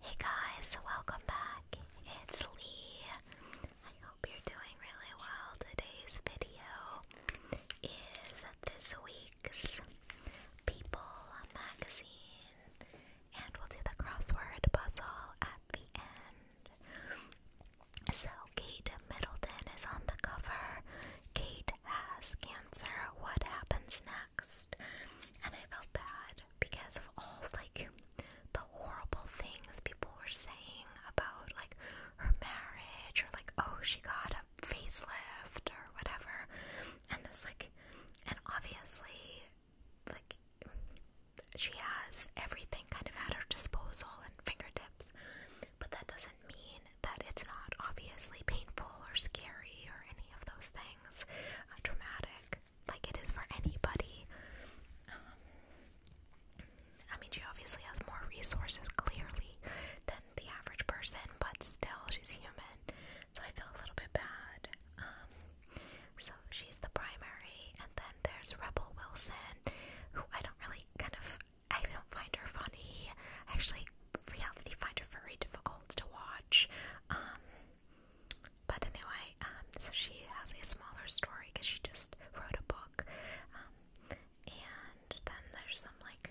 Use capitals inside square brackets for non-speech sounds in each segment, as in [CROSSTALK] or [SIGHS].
Hey guys, welcome back. It's Lee. I hope you're doing really well. Today's video is this week's People magazine, and we'll do the crossword puzzle at the end. So, Kate Middleton is on the cover. Kate has cancer. What happens next? And I felt bad because of all like the horrible things people were saying about like her marriage or like oh she got a facelift or whatever and this like and obviously like she has everything kind of at her disposal and fingertips but that doesn't mean that it's not obviously painful or scary or any of those things things uh, dramatic like it is for anybody. Um, I mean, she obviously has more resources clearly than the average person, but still, she's human, so I feel a little bit bad. Um, so she's the primary, and then there's Rebel Wilson, who I don't really kind of I don't find her funny. I actually, reality find her very difficult to watch. Um, but anyway, um, so she has a smaller story because she just wrote a book. Um, and then there's some like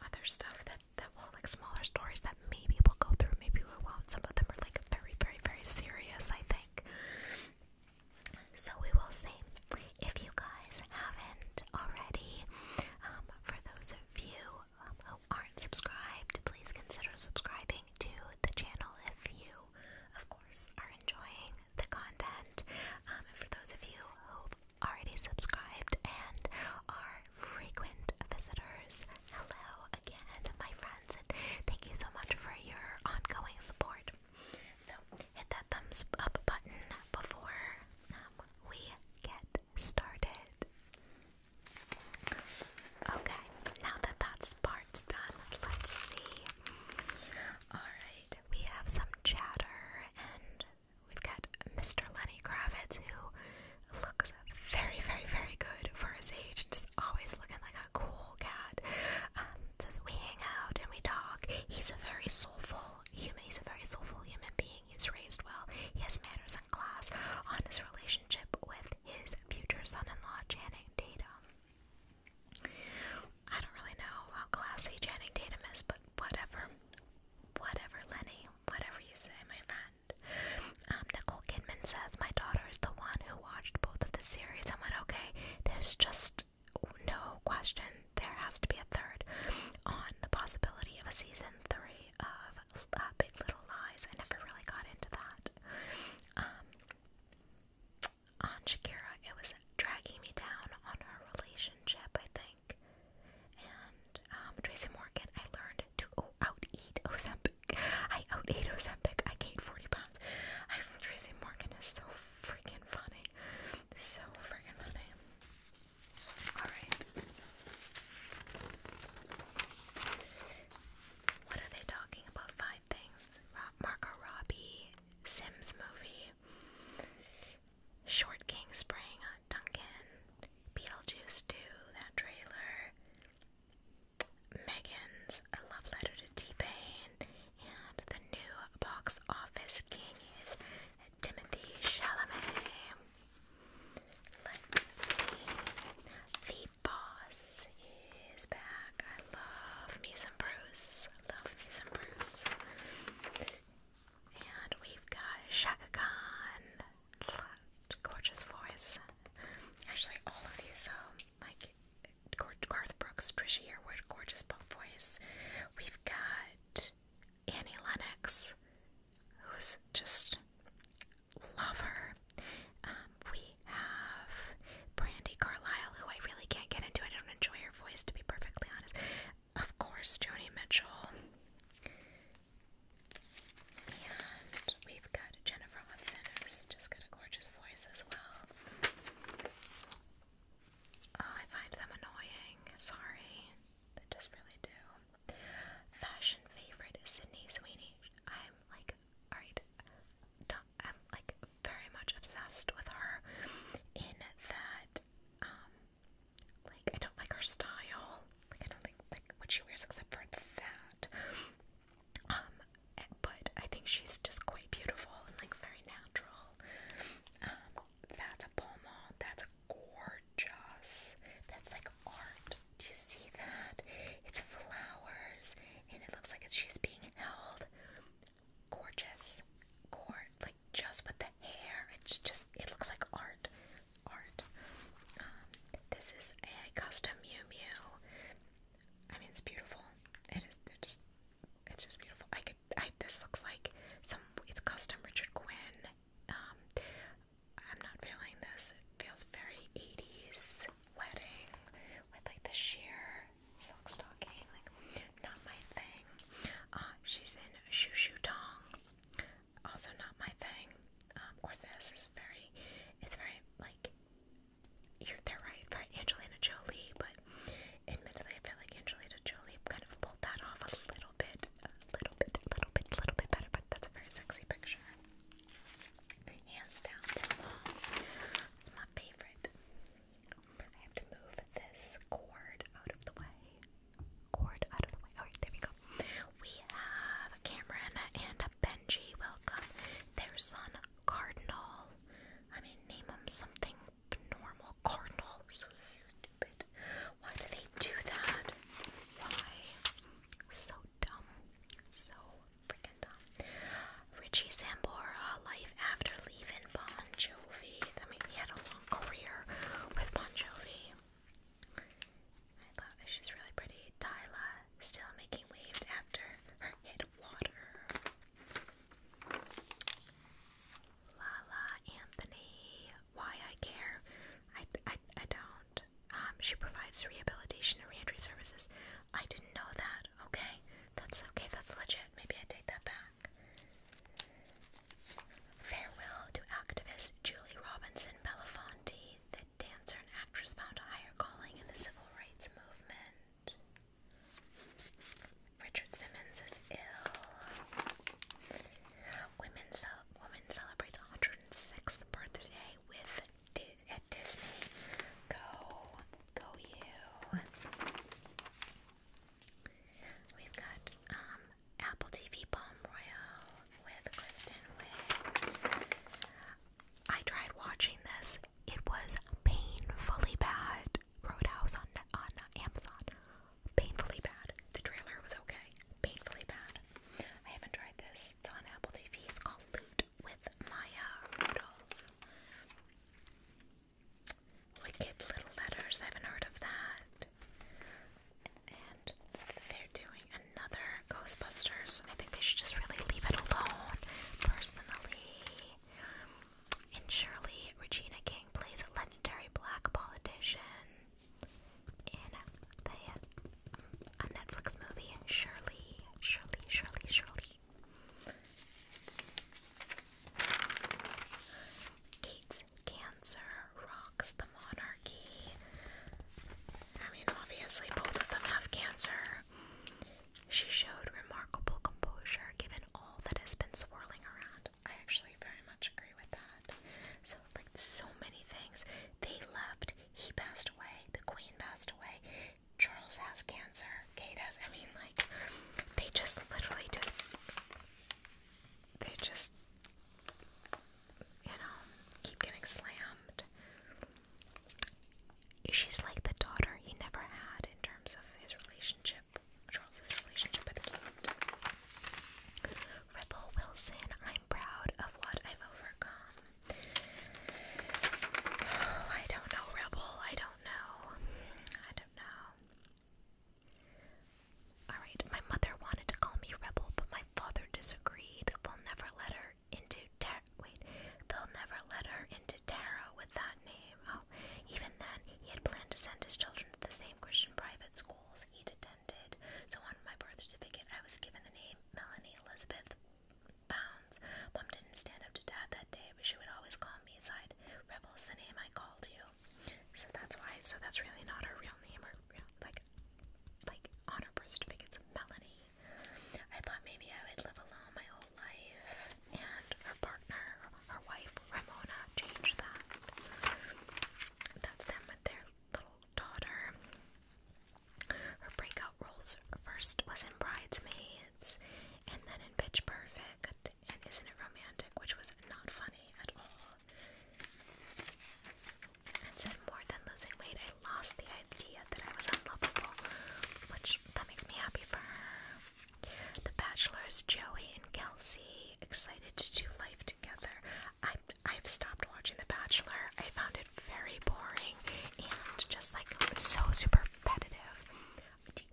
other stuff that that will like smaller stories that maybe we'll go through, maybe we won't. Some of them are like very, very, very serious, I think. So we will see. If you guys haven't already, um, for those of you who aren't subscribed, please consider subscribing to the channel if you, of course, are enjoying the content. Um, and for those of you who already subscribed and are frequent visitors, hello again, my friends, and thank you so much for your ongoing support. So, hit that thumbs up button before um, we get started. Okay, now that that part's done, let's see. Alright, we have some chatter, and we've got Mr. Lenny Kravitz, who looks very, very, very good for his age, just always looking like a cool cat. Um, says, We hang out and we talk. He's a very soulful human, he's a very soulful human being. He's raised well, he has manners and class, on his relationship with his future son-in-law Channing Tatum. I don't really know how classy Channing Tatum is, but whatever, whatever, Lenny, whatever you say, my friend. Um, Nicole Kidman says my daughter is the one who watched both of the series and went, okay, there's just no question there has to be a third on the possibility of a season three of uh, Big Little Lies. I never really got into that. Um, on Shakira, it was dragging me down on her relationship, I think. And um, Tracy Morgan, I learned to oh, Ozempic. [LAUGHS] I out Ozempic. I gained 40 pounds. Tracy Morgan is so freaking funny. So freaking funny. Alright. What are they talking about? Five things. Marco Robbie, Sims movie, Short King Spring, Duncan, Beetlejuice 2, that trailer. Megan's A Love Letter to T-Pain and the new box office king is Timothy Chalamet. The boss is back. I love me some Bruce. Love me some Bruce. And we've got Shaka Gorgeous voice. Actually, all of these, um, like Garth Brooks, Trisha Yearwood, gorgeous voice. We've got Annie Lennox, who's just love um, we have Brandy Carlisle, who I really can't get into. I don't enjoy her voice, to be perfectly honest. Of course, Joni Mitchell. And we've got Jennifer Hudson, who's just got a gorgeous voice as well. Oh, I find them annoying. Sorry. They just really do. Fashion favorite Sydney Sweeney. I'm like, alright, I'm like very much obsessed with her in that, um, like, I don't like her style. Like, I don't think, like, what she wears except for that. Um, but I think she's just quite beautiful and, like, very natural. Um, that's a pommel. That's a art, Joss. That's like art. Do you see that? It's flowers, and it looks like it's, she's being held. Gorgeous. Gore, like just with the hair. It's just, it looks like art. Art. Um, this is a custom Mew Mew. I mean, it's beautiful. It is, it's just, it's just beautiful. I could, I, this looks like some, it's custom Richard Quinn um, I'm not feeling this. It feels very 80s wedding with like the sheer silk stocking. Like, not my thing. Uh, she's in a shoo shoo Also, not my thing. Um, or this is very, it's very like, you're, they're right, Angelina Jolie, but admittedly, I feel like Angelina Jolie kind of pulled that off a little bit a little bit, little bit, little bit better, but that's a very sexy picture. Hands down, it's my favorite. I have to move this cord out of the way. Cord out of the way. Alright, there we go. We have Cameron and Benji. Welcome. Their son, Cardinal. I mean, name him something normal. Cardinal. So stupid. Why do they do that? Why? So dumb. So freaking dumb. Richie Sambora, Life After Leaving Bon Jovi. I mean, he had a long career with Bon Jovi. I love it. She's really pretty. Tyla, still making waves after her hit Water. Lala Anthony, why I care. I, I, I don't. Um, she provides rehabilitation and reentry services. I didn't know that. Okay, that's okay. That's legit. Maybe I take that back. Farewell to activist Julie Robinson Belafonte, the dancer and actress found a higher calling in the civil rights movement. Richard Simmons is ill. Women's ce uh, women celebrates 106th birthday with at Disney. Go, go you. We've got um, Apple TV Palm Royal with Kristen Wiig. I tried watching this. It was painfully bad. Roadhouse on on Amazon. Painfully bad. The trailer was okay. Painfully bad. I haven't tried this. on Apple TV. It's called Loot with Maya Rudolph. Wicked Little Letters. I haven't heard of that. And they're doing another Ghostbusters. I think they should just really leave it alone, personally. In Shirley, Regina King plays a legendary black politician in the Netflix movie, Shirley, Shirley, Shirley, Shirley. Kate's cancer rocks the monarchy. I mean, obviously, both of them have cancer. She showed remarkable composure given all that has been swirling around. I actually very much agree with that. So, like, so many things. They left, he passed away, the queen passed away, Charles has cancer, Kate has. I mean, like, they just literally just. They just. You know, keep getting slammed. She's like the daughter he never had in terms of his relationship, Charles's relationship with Kate. Ripple Wilson, I'm proud of what I've overcome. Oh, [SIGHS] I don't know, Rebel. I don't know. I don't know. Alright, my mother wanted to call me Rebel, but my father disagreed. They'll never let her into tar wait, they'll never let her into tarot with that name. Oh, even then, he had planned to send his children to the same Christian private school he'd attended. So on my birth certificate, I was given the name Melanie Elizabeth Bounds. Mom didn't stand up to Dad that day, but she would always call me aside. Rebel's the name I called you. So that's why. So that's really not her real name or real like like on her birth certificate, Melanie. I thought maybe I would live alone my whole life, and her partner, her wife Ramona, changed that. That's them with their little daughter. Her breakout roles first was in Bridesmaids and then in Pitch Perfect and Isn't It Romantic, which was not funny at all. And said more than losing weight, I lost the idea that I was unlovable, which that makes me happy for her. The Bachelors, Joey and Kelsey, excited to do life together. I, have stopped watching The Bachelor. I found it very boring and just like so super repetitive.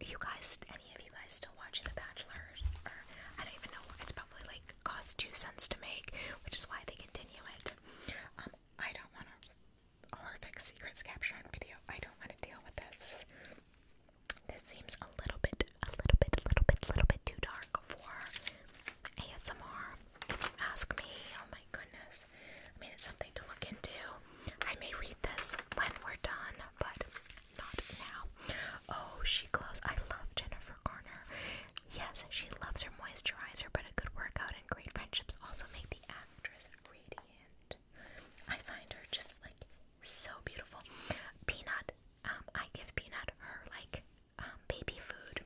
you guys, any of you guys still watching The Bachelor? I don't even know. It's probably like cost two cents to make, which is why they continue it. Um, I don't want a horrific secrets captured video. I don't want to deal with this. This seems a little bit, a little bit, a little bit, a little bit too dark for ASMR. If you ask me, oh my goodness. I mean, it's something to look into. I may read this when we're done, but not now. Oh, she glows. I love Jennifer Garner. Yes, she loves her moisturizer, but a good workout and great friendships also make the actress radiant. I find her just like so beautiful. Peanut, um, I give Peanut her like um, baby food,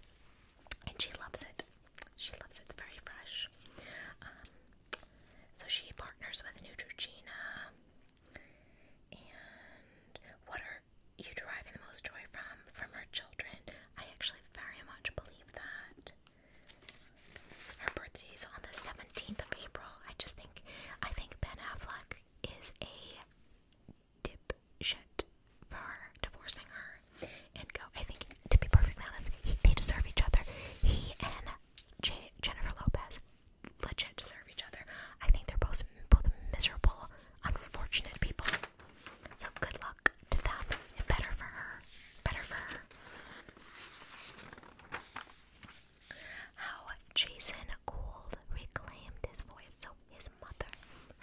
and she loves it. She loves It's very fresh. Um, so she partners with Neutrogena. And what are you deriving the most joy from? From her children. I actually very much believe that. Her birthday is on the 17th of April. I just think I think Ben Affleck is a dipshit for divorcing her and go. I think, to be perfectly honest, he, they deserve each other. He and J Jennifer Lopez legit deserve each other. I think they're both both miserable, unfortunate people. So good luck to them, and better for her. Better for her. How Jason Gould reclaimed his voice. So his mother.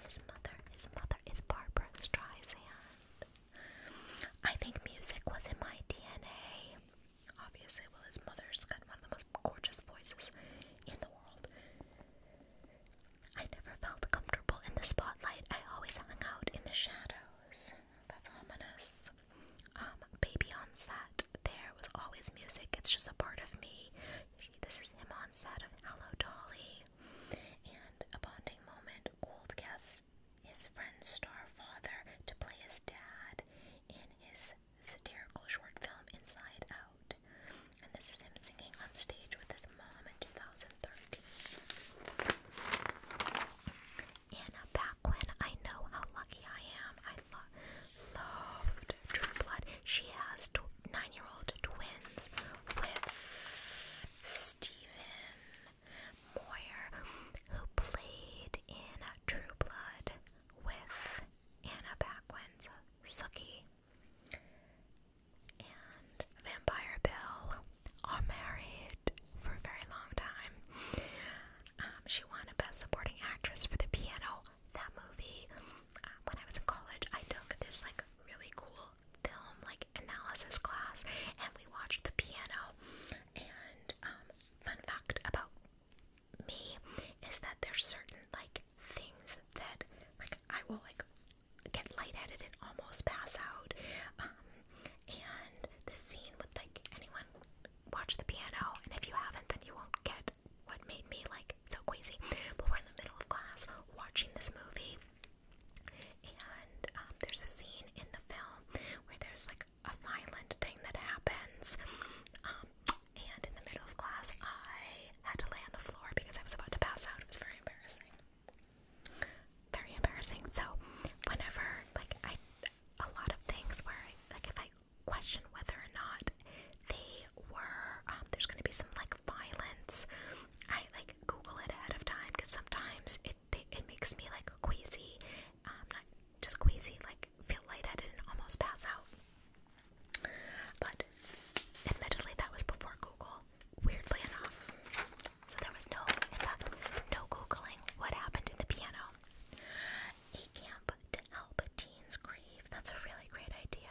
His mother. His mother is Barbara Streisand. I think music was in my DNA. Obviously, well, his mother's got one of the most gorgeous voices in the world. I never felt comfortable in the spotlight. I always hung out in the shadows. That's ominous. Um, baby on set. There was always music. It's just a part of me. She, this is him on set of Hello Dolly, and a bonding moment. Gold guests his friend's star father to play his dad in his satirical short film Inside Out, and this is him singing on stage with his mom in 2013. Anna Paquin, I know how lucky I am. I loved True Blood. She has 12 nine year old twins with Stephen Moyer, who played in True Blood with Anna Paquin's Sookie. And Vampire Bill are married for a very long time. Um, she won a Best Supporting Actress for the piano. That movie. Uh, when I was in college, I took this like really cool film like analysis class and we watched the piano and um fun fact about me is that there's certain like things that like I will like get lightheaded and almost pass out um and the scene with like anyone watch the piano and if you haven't then you won't get what made me like so crazy? But we're in the middle of class watching this movie, and um, there's a scene in the film where there's like a violent thing that happens. Um, and in the middle of class, I had to lay on the floor because I was about to pass out. It was very embarrassing. Very embarrassing. So, whenever, like, I, a lot of things where, like, if I question whether or not they were um, there's gonna be some like violence. I like Google it ahead of time because sometimes it it makes me like queasy, um, not just queasy, like feel lightheaded and almost pass out. But admittedly, that was before Google. Weirdly enough, so there was no, no googling what happened in the piano. A camp to help. Jean's grief. That's a really great idea.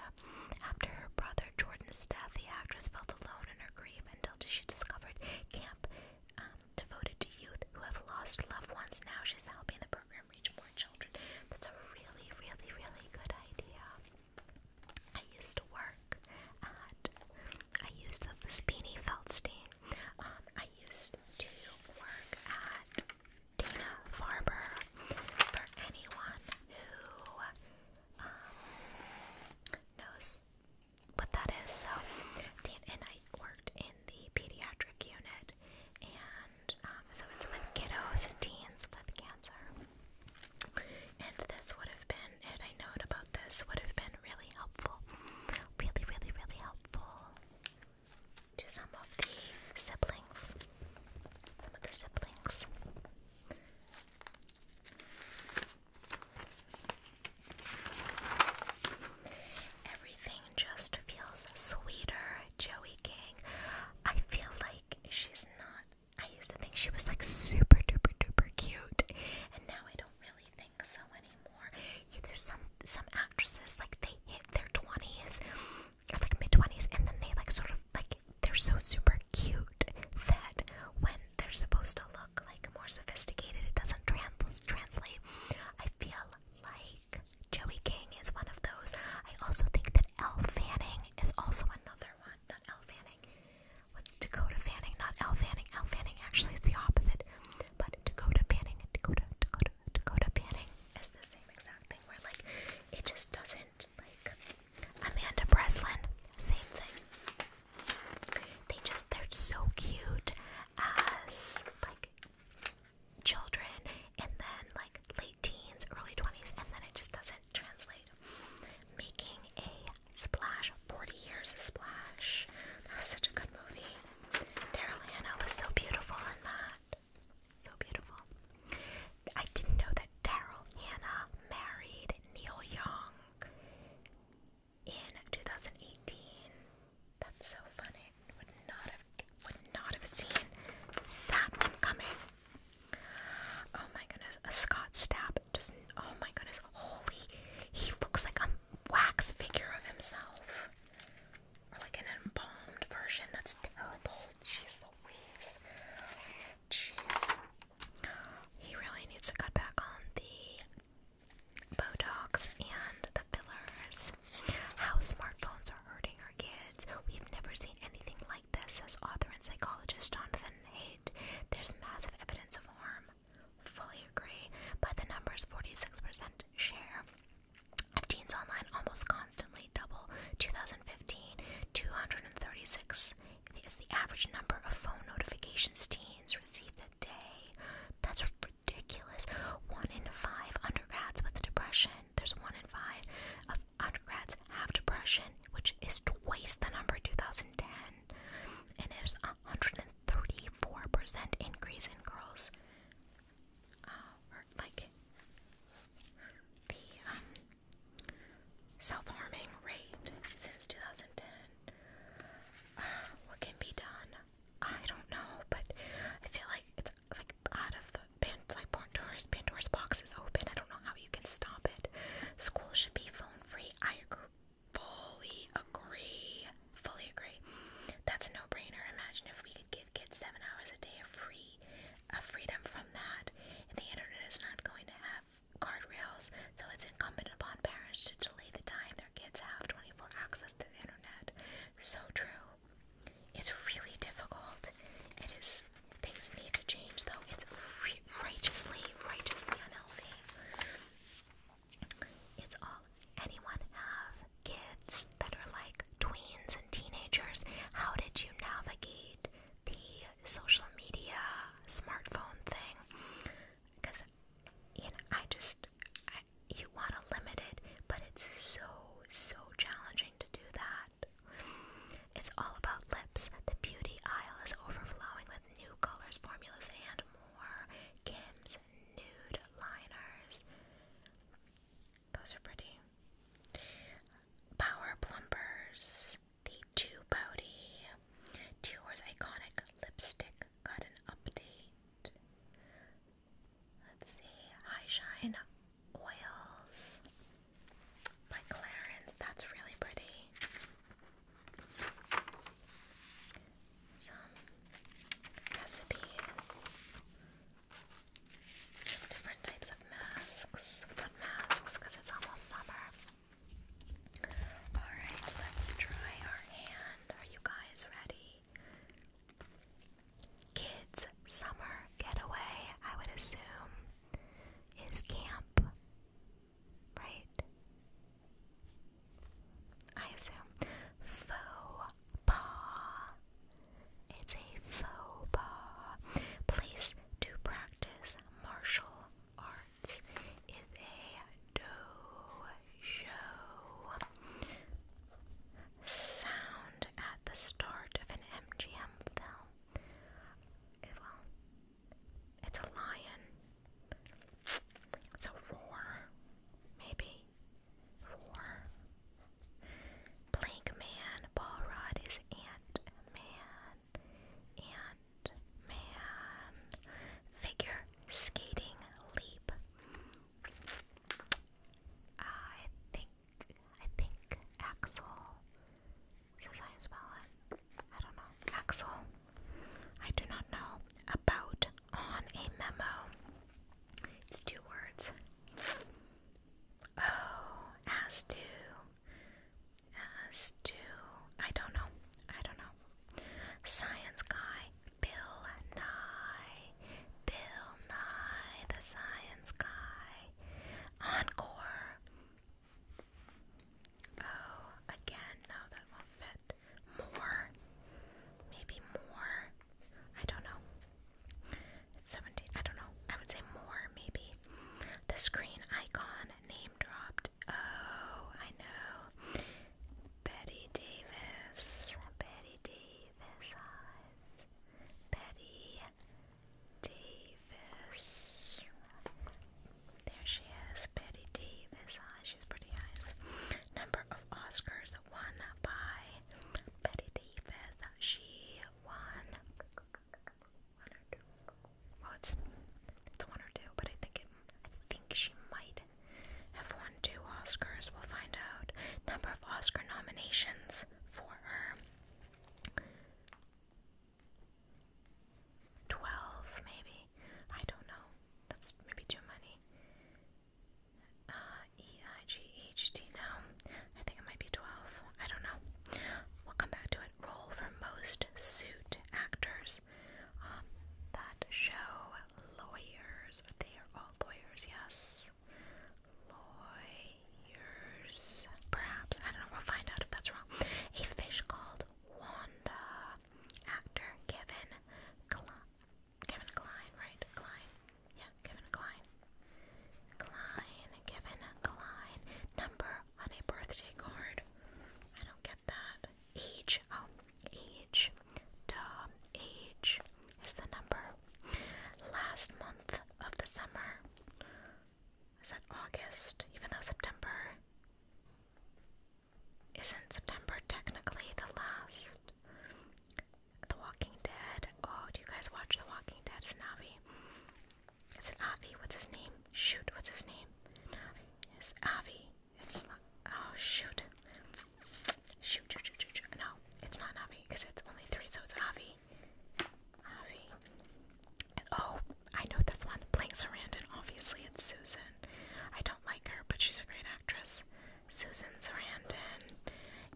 After her brother Jordan's death, the actress felt alone in her grief until she discovered Camp um, devoted to youth who have lost loved ones. Now she's helping the program reach more children. That's a really, really, really good idea. I used to work at, I used to, this Beanie Feldstein. Um, I used to work at Dana Farber. For anyone who um, knows what that is. So, and I worked in the pediatric unit, and um, so it's with kiddos and teens with cancer. And this would have been, and I note about this, would have been really helpful. Really, really, really helpful to some of the siblings. Some of the siblings. Everything just feels sweeter, Joey King. I feel like she's not. I used to think she was like super duper duper cute, and now I don't really think so anymore. there's some some actresses like they hit their twenties or like mid twenties, and then they like sort of like they're so super cute that when they're supposed to look like more sophisticated, it doesn't translate. I feel like Joey King is one of those. I also think that Elle Fanning is also another one. Not Elle Fanning. What's Dakota Fanning? Not Elle Fanning. Elle Fanning actually is the opposite. But Dakota Fanning, Dakota, Dakota, Dakota Fanning is the same exact thing where like it just doesn't like Amanda Breslin, same thing. They just, they're so cute as like children and then like late teens, early 20s, and then it just doesn't translate. Making a Splash, 40 Years a Splash. That was such a good movie. Daryl was so beautiful in that. So beautiful. I didn't know that Daryl Hannah married Neil Young in 2018. That's so funny. Would not have would not have seen that one coming. Oh my goodness, a Scott Stapp just oh my goodness, holy he looks like a wax figure of himself. Or like an embalmed version. That's terrible. Jeez Louise. Jeez. He really needs to cut back on the Botox and the fillers. How smartphones are hurting our kids. We've never seen anything like this, says author and psychologist Jonathan Haidt. There's massive evidence of harm. Fully agree. By the numbers, 46% share of teens online almost constantly double 2015. 236 is the average number of phone notifications teens receive a day. That's ridiculous. One in five undergrads with depression. There's one in five of undergrads have depression, which is twice the number 2010. And it's a 134% increase in girls. Uh, like the um, self-harming rate since 2010. Uh, what can be done? I don't know, but I feel like it's like out of the like Pandora's Pandora's box is open. I don't know how you can stop it. School should be phone free. I fully agree. Fully agree. That's a no-brainer. Imagine if we could give kids seven hours a day of free a freedom from that, and the internet is not going to have guardrails, so it's incumbent upon parents to delay the time their kids have 24 access to the internet. So true. It's really difficult. It is. Things need to change, though. It's righteously, righteously unhealthy. It's all anyone have kids that are like tweens and teenagers. How did you navigate the social media smartphone thing because you know I just I, you want to limit it, but it's so so challenging to do that. It's all about lips. The beauty aisle is overflowing with new colors, formulas, and more. Kim's nude liners. Those are pretty. Power Plumpers, the Two Body, Two Iconic Lipstick got an update. Let's see, High Shine Oils by Clarence, that's really pretty. Some recipes different types of masks, fun masks, because it's almost summer. Alright, let's try our hand. Are you guys ready? Kids, summer getaway, I would assume, is camp, right? I assume. Faux pas. It's a faux Place to practice martial arts is a dojo. Sound at the start of an MGM film. it's a lion. It's a roar, maybe. Roar. Plank Man, Ball Rod is Ant Man, Ant Man, Figure Skating Leap. I think, I think Axel. Says I spell it. I don't know. Axel. I do not know about on a memo. It's two words. Oh, as to, as to, I don't know, I don't know. Science guy, Bill Nye, Bill Nye, the science guy. Encore. Oh, again, no, that won't fit. More, maybe more. I don't know. 17, I don't know, I would say more maybe. The screen icon name dropped. Oh, I know. Betty Davis. Betty Davis Betty Davis. There she is. Betty Davis She's pretty nice. Number of Oscars won by Betty Davis. She won well, it's it's one or two, but I think it. I think she might have won two Oscars. We'll find out number of Oscar nominations for her. Twelve, maybe. I don't know. That's maybe too many. Uh, e I G H T. No, I think it might be 12. I don't know. We'll come back to it. Role for most suit actors um, that show lawyers. They are all lawyers, yes. Lawyers. Perhaps. I don't know. We'll find out if that's wrong. A fish called Wanda. Actor Kevin Kevin Klein, right? Klein. Yeah, Kevin Klein. Klein, given Klein number on a birthday card. I don't get that. Age, oh, age, duh, age is the number. Last month of the summer. Is that August? Even though September isn't September technically the last. The Walking Dead. Oh, do you guys watch The Walking Dead? Is it's an Avi. What's his name? Shoot. What's his name? Avi. It's Avi. It's not. Oh shoot. Shoot. Shoot. Shoot. Shoot. shoot. No, it's not Avi because it's only three, so it's Avi. Avi. oh, I know that's one. Playing Sarandon. Obviously, it's Susan. I don't like her, but she's a great actress. Susan Sarandon.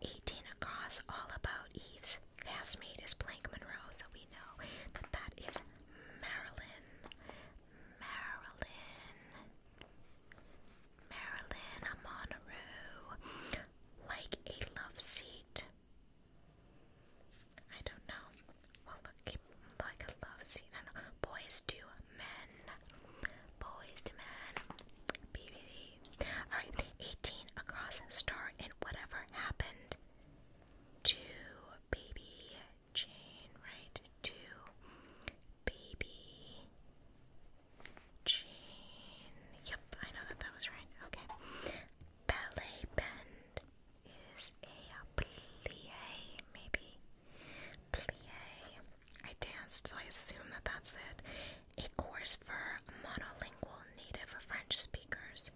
18 across. All about Eve's castmate is Blank Monroe, so we know that that is Marilyn. Marilyn. Marilyn Monroe. Like a love seat. I don't know. Well, look, like a love seat. I know. Boys to men. Boys to men. BBD. All right, 18 across start and whatever happened to baby Jane, right? To baby Jane. Yep, I know that that was right. Okay. Ballet bend is a plie, maybe. Plie. I danced, so I assume that that's it a course for monolingual native French speakers.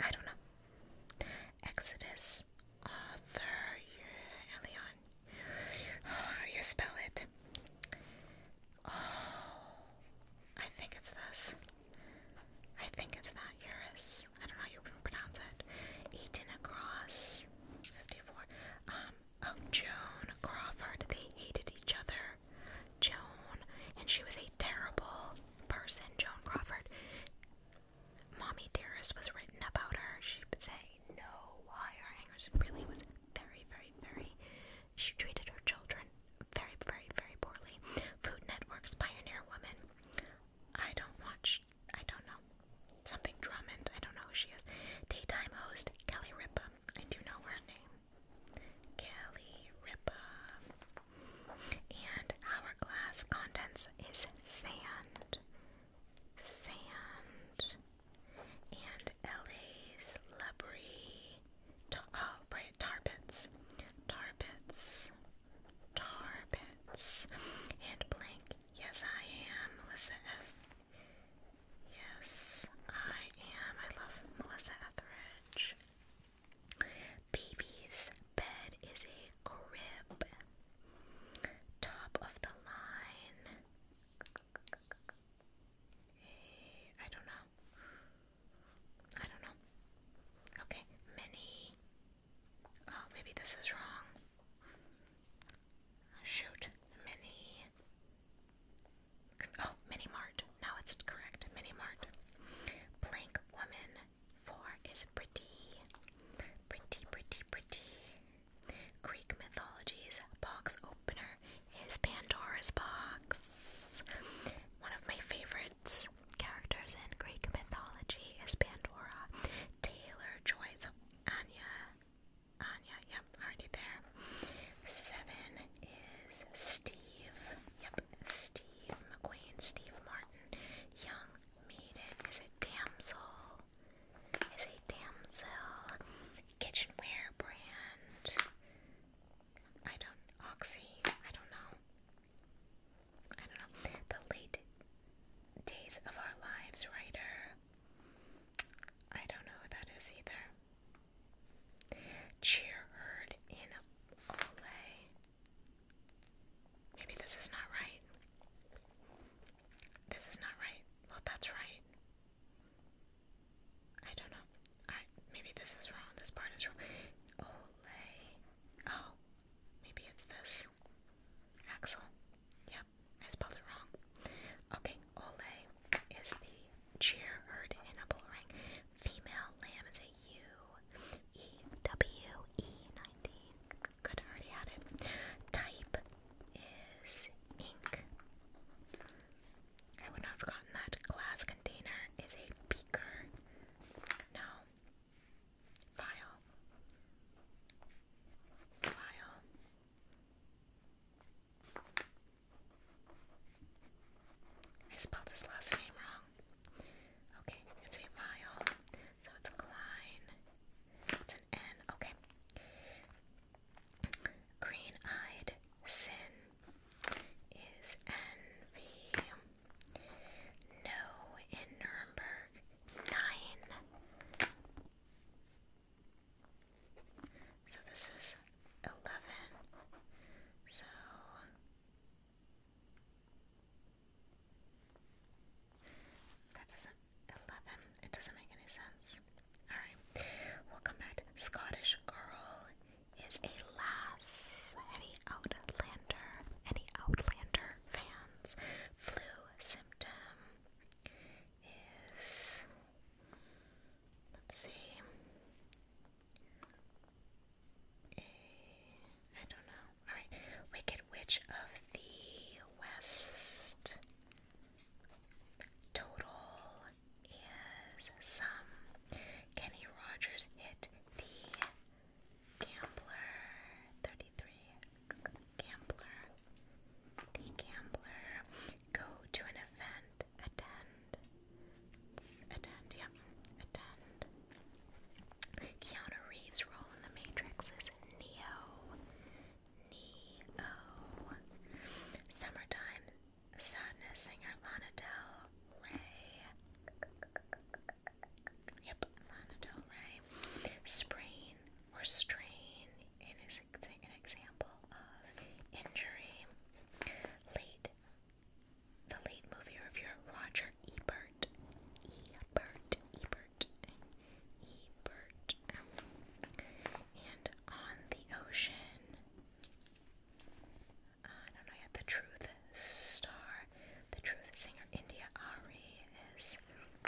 I don't know. Exodus author Elion. How do you spell it? Oh, I think it's this. I think it's that Eurus. I don't know how you pronounce it. Eaton across. 54. Um, oh, Joan Crawford. They hated each other. Joan, and she was a terrible person, Joan Crawford. Mommy Dearest was written about her. She would say no wire hangers. Really was very, very, very. She treated her children very, very, very poorly. Food Network's Pioneer Woman. I don't watch. I don't know. Something Drummond. I don't know who she is. Daytime host Kelly Ripa. I do know her name. Cali Ripa, and Hourglass contents is sand, sand, and LA's Lebrie, oh, right, tar pits, tar and blank. Yes, I am. Melissa S. Yes, I am. I love Melissa Etheridge. Baby's bed is a crib. Top of the line. I don't know. I don't know. Okay, mini. Oh, maybe this is wrong. Shoot, mini. Oh, Mini Mart. Now it's correct. Mini Mart. Plank Woman. Four is pretty. Pretty, pretty, pretty. Greek mythology's box opener is Pandora's box. One of my favorite characters in Greek mythology is Pandora. Taylor Joy's Anya. Anya, already there. Seven is Steve. Yep, Steve McQueen, Steve Martin. Young maiden is a damsel. Is a damsel. Kitchenware brand. I don't Oxy. I don't know. I don't know. The late Days of Our Lives writer. I don't know who that is either. Cheer heard in Olay. Maybe this is not right. This is not right. Well, that's right. I don't know. Alright, maybe this is wrong. This part is wrong. Olay. Oh, maybe it's this. Axel. Yep, I spelled it wrong. Okay, Ole is the cheer herd in a bull ring. Female lamb is a U E W E nineteen. Good, I already had it. Type is ink. I would not have forgotten that. Glass container is a beaker. No. File. File. I spelled his last name wrong. Okay, it's a vial, so it's Klein. It's an N, okay. Green eyed sin is envy. No in Nuremberg. Nine. So this is 11. So that doesn't 11. It doesn't make any sense. All right. We'll come back. Scottish girl is a lass. Any Outlander, any Outlander fans. Flu symptom is Let's see. A, I don't know. Alright. Wicked Witch of the West. Total is some. Kenny Rogers hit the Gambler. 33. Gambler. The Gambler. Go to an event attend, attend, yep, attend. Keanu Reeves' role in The Matrix is Neo. Neo. Summertime Sadness singer Lana Del Rey. Yep, Lana Del Rey. Sprain or strain in his an example of injury. Late, the late movie reviewer Roger Ebert, Ebert, Ebert, Ebert, and On the Ocean. Uh, I don't know yet. The Truth Star, The Truth Singer India Ari is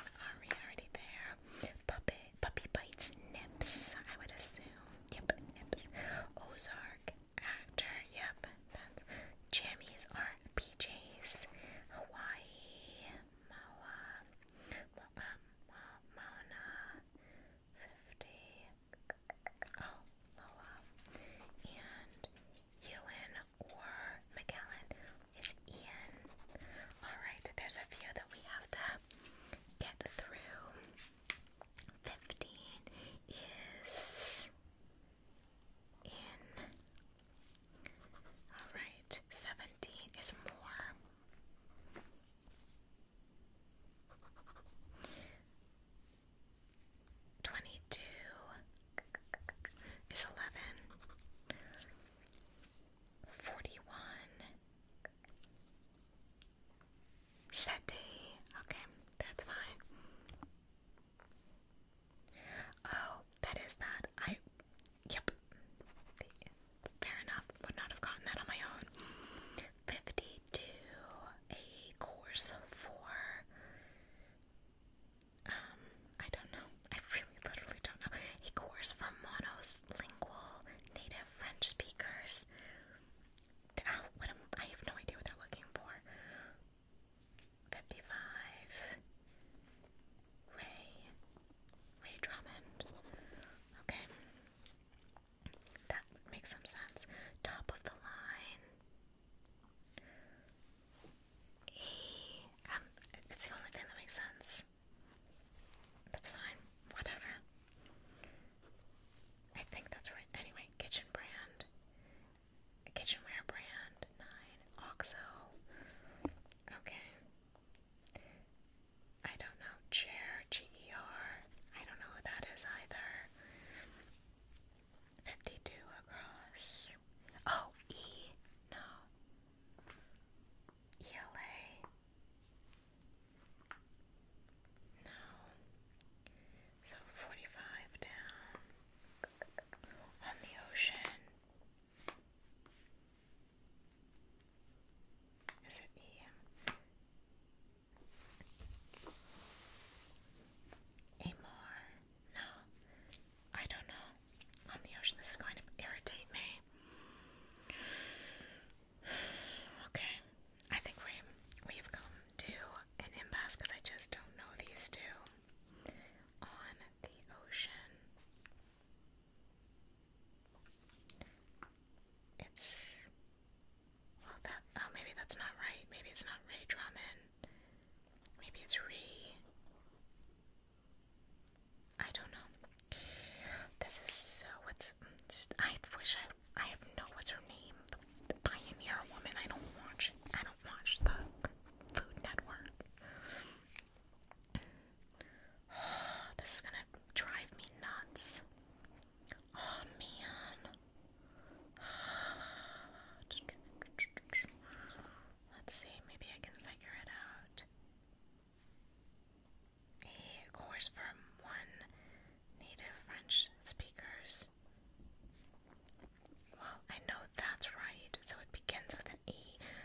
Ari already there. Puppet. Puppy Bites Nips, I would assume. Yep, Nips. Ozark, actor, yep. That's jammies are PJs. Hawaii, Maua, Mauna, um, 50, oh, Loa, and Ewan or McAllen is Ian. Alright, there's a few that we have to get through. Fifteen is in. All right, seventeen is more. Twenty-two is eleven. Forty-one Settee. Okay, that's fine. Oh, that is that. I. Yep. Fair enough. Would not have gotten that on my own. 52. A course for. Um, I don't know. I really literally don't know. A course for monolingual native French speakers. Ah, what I have no idea what they're looking for. 55. Ray. Ray Drummond. Okay. That would some sense. Top of the line. E. Um, it's the only thing that makes sense. That's fine. Whatever. I think that's right. Anyway, Kitchen Brand, Kitchenware Brand, 9, OXO. Okay. I don't know. Chair, G E R. I don't know who that is either. 52 across. Oh, E. No. ELA. No. So 45 down on the ocean. Is it E? Amor? No. I don't know. On the ocean, this is going to irritate me. [SIGHS] Okay, I think we we've come to an impasse because I just don't know these two on the ocean. It's well that oh maybe that's not right. Maybe it's not Ray Drummond. Maybe it's Re. I don't know. This is so what's I wish I I have no what's her name. The, Pioneer Woman. I don't watch. I don't watch the Food Network. [SIGHS] this is gonna drive me nuts. Oh man. [SIGHS] Let's see. Maybe I can figure it out a course from one native French speakers. Well, I know that's right. So it begins with an E.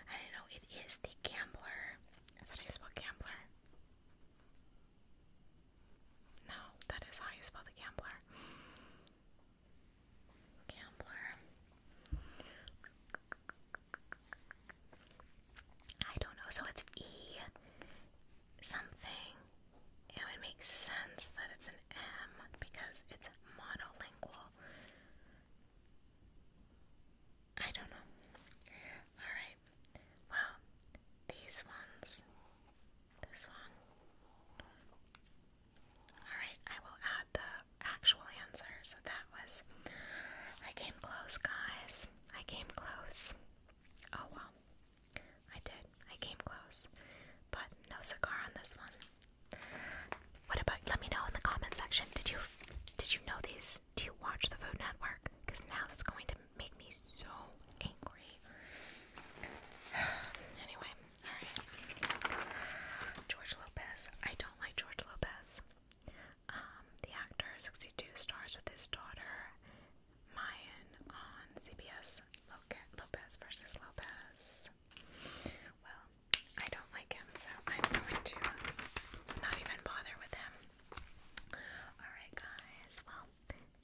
I didn't know it is the gambler. Is that how you spell gambler? No, that is how you spell the gambler. Gambler. I don't know. So it's E something, it would make sense that it's an M because it's monolingual. I don't know. Alright. Well, these ones. This one. Alright, I will add the actual answer. So that was. I came close, guys. I came close. Oh well, I did. I came close, but no cigar on this one. What about? Let me know in the comment section. Did you did you know these? Do you watch the Food Network? Because now that's going to make me so angry. [SIGHS] anyway, all right. George Lopez. I don't like George Lopez. Um, the actor, 62, stars with his daughter Mayan on CBS Lopez versus Lopez. Well, I don't like him, so I'm going to not even bother with him. Alright, guys, well,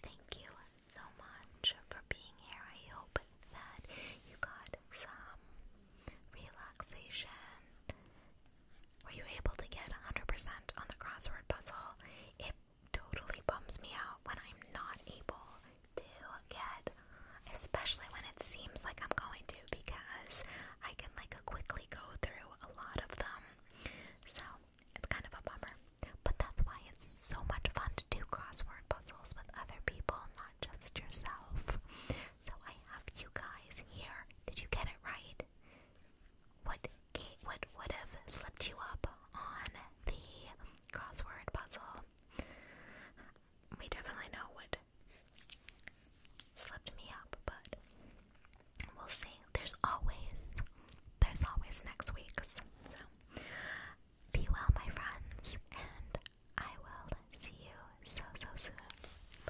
thank you so much for being here. I hope that you got some relaxation were you able to get 100% on the crossword puzzle? It totally bums me out when I'm not able to get, especially when it seems like I'm going to, because I can like quickly go through a lot of them. So it's kind of a bummer. But that's why it's so much fun to do crossword puzzles with other people, not just yourself. So I have you guys here. Did you get it right? what what would have slipped you up on the crossword puzzle. We definitely know what slipped me up, but we'll see. There's always there's always next week's. So be well my friends and I will see you so so soon.